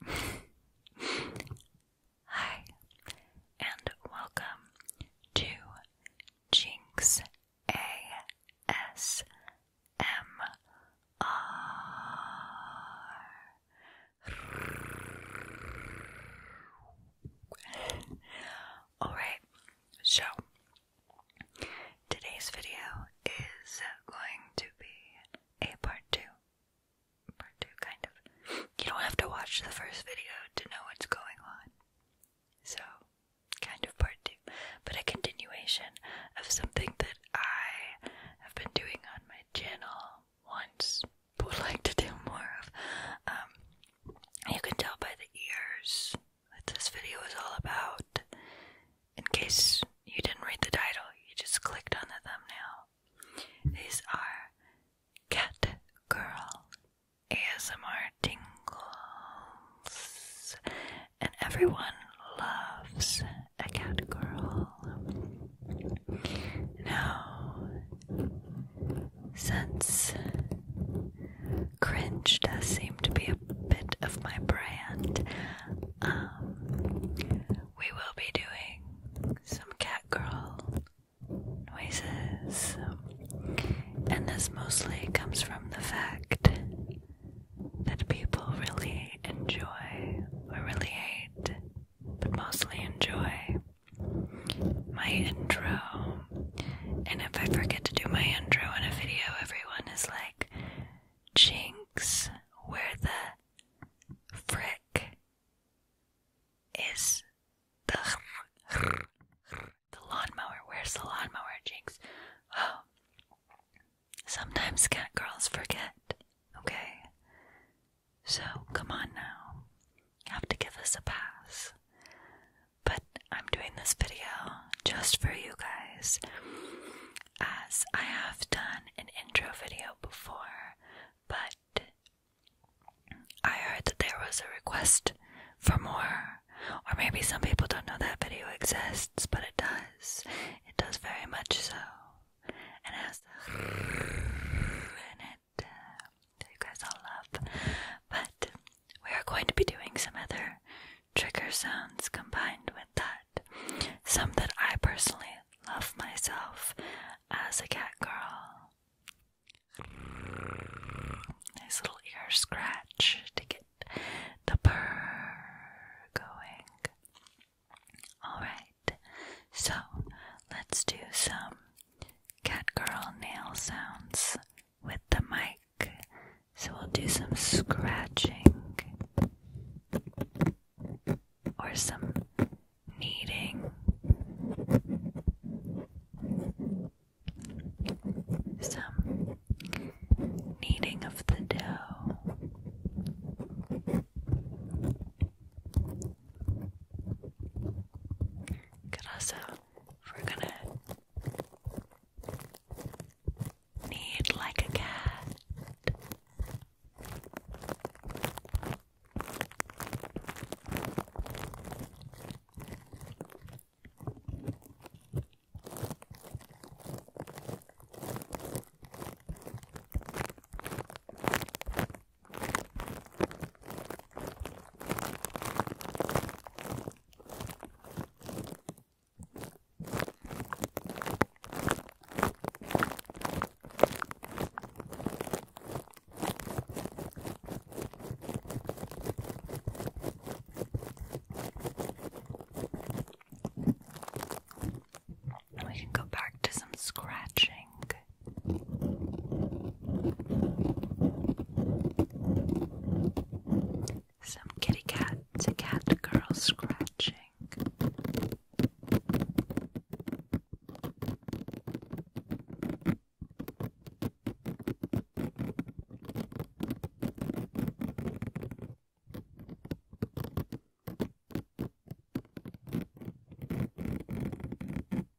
Hi, and welcome to Jinx ASMR. Alright, so Today's video is going to be a part two. Part two, kind of. You don't have to watch the first video to know what's going on. So, kind of part two, but a continuation of something that I have been doing on my channel once, but would like to do more of. Um, you can tell by the ears that this video is all about. In case you didn't read the title, you just clicked on the thumbnail. These are Cat Girl ASMR tingles, and everyone loves a cat girl. Now, since Cringe does seem to be a bit of my brand. Um, we will be doing some cat girl noises, and this mostly comes from the fact that people really enjoy or really hate, but mostly enjoy my intro and if I forget to do my intro in a video, everyone is like, Jinx, where the frick is the, the lawnmower? Where's the lawnmower, Jinx? Oh, sometimes cat girls forget, okay? So come on now. You have to give us a pass but I'm doing this video just for you guys, as I have done an intro video before, but I heard that there was a request for more, or maybe some people don't know that video exists, but it does. It does very much so, and as the in it, uh, you guys all love. But we are going to be doing some other trigger sounds combined with that. Some that I personally love myself as a cat girl. Nice little ear scratch to get the purr going. Alright, so let's do some cat girl nail sounds with the mic, so we'll do some scratching or some kneading. Some kneading of the dough. Could also we're gonna need like a cat. We can go back to some scratching. Some kitty cat to cat girl scratching.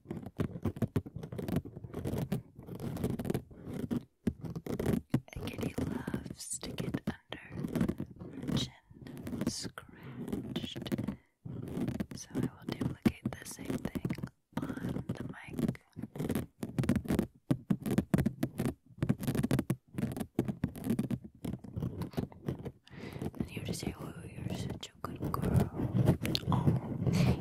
A kitty loves to get under chin scratched. So I will duplicate the same thing on the mic. And you just say, Oh, you're such a good girl. Oh,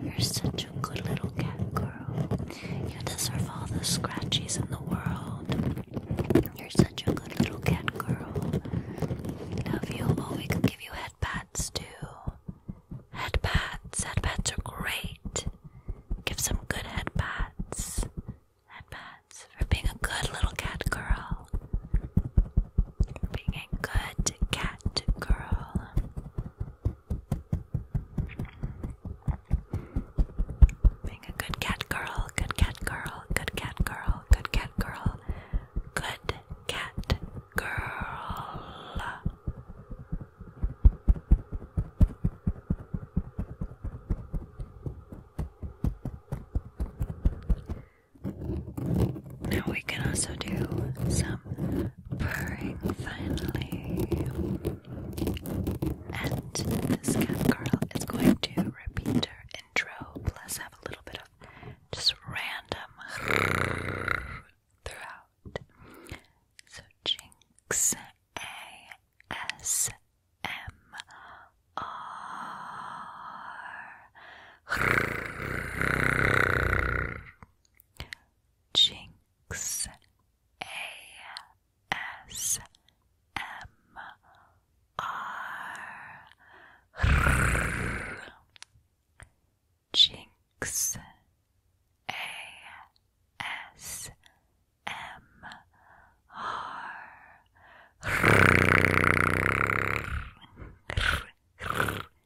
you're such such a good little cat girl. You deserve all the scratchies in the world. You're such a good little cat girl. Love you. Oh, we could give you head too. Head pats. are great. Give some good head pats. for being a good little cat girl. For being a good cat girl. Being a good cat girl, good cat girl, good cat girl, good cat girl, good cat girl. Now we can also do some purring finally. And this cat girl is going to repeat her intro, plus have a little bit of just random throughout. So Jinx A S M R. Jinx ASMR Jinx ASMR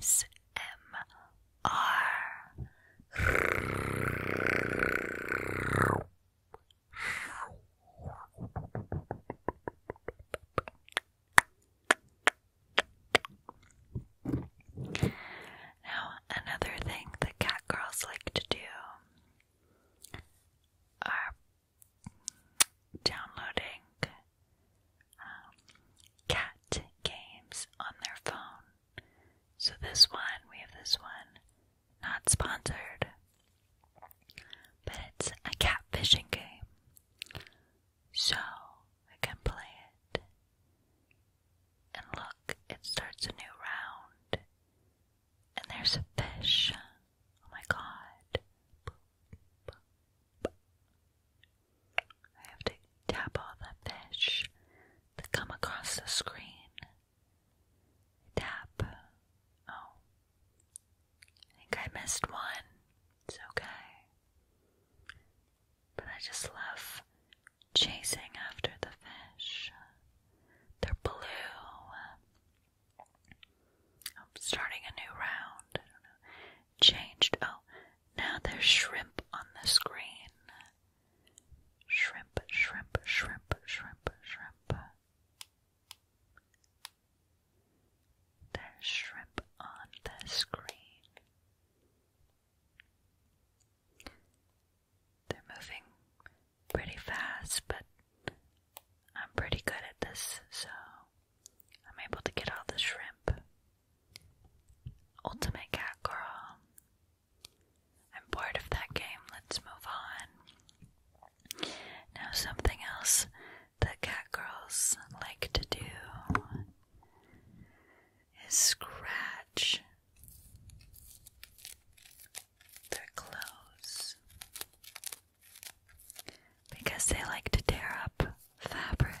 S M R. Now, another thing that cat like to do are downloading um, cat games on their phone. So, this one, we have this one, not sponsored, but it's a cat fishing game. So, we can play it. And look, it starts a new round. And there's a fish. Oh my god. I have to tap all the fish that come across the screen. Tap. Oh. I think I missed one. It's okay. But I just love chasing after the fish. They're blue. I'm starting a new round changed. Oh, now there's shrimp on the screen. Shrimp, shrimp, shrimp, shrimp, shrimp. There's shrimp on the screen. They're moving pretty fast, but I'm pretty good at this, so I'm able to get all the shrimp. Ultimate Cat Girl. I'm bored of that game. Let's move on. Now, something else the cat girls like to do is scratch their clothes because they like to tear up fabric.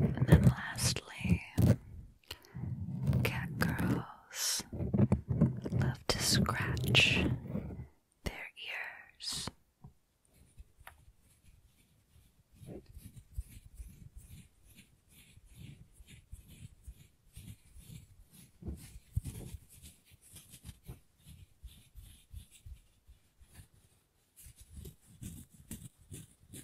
And then lastly, Cat girls love to scratch their ears.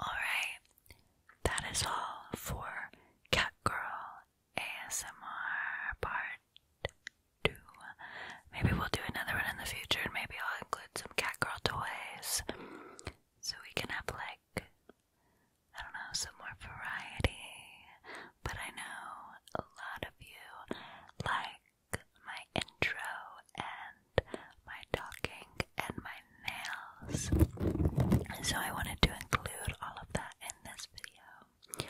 Alright, that is all for Cat Girl ASMR Part 2. Maybe we'll do another one in the future and maybe I'll include some Cat Girl toys so we can have, like, I don't know, some more variety but I know a lot of you like my intro and my talking and my nails. So I wanted to include all of that in this video.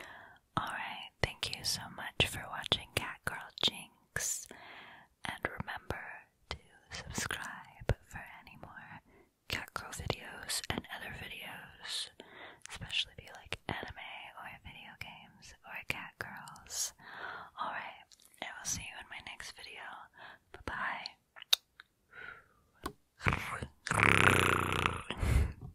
Alright, thank you so much for watching Cat Girl Jinx. And remember to subscribe for any more Cat Girl videos and other videos especially if you like anime or video games or cat girls. Alright, I will see you in my next video. Bye bye.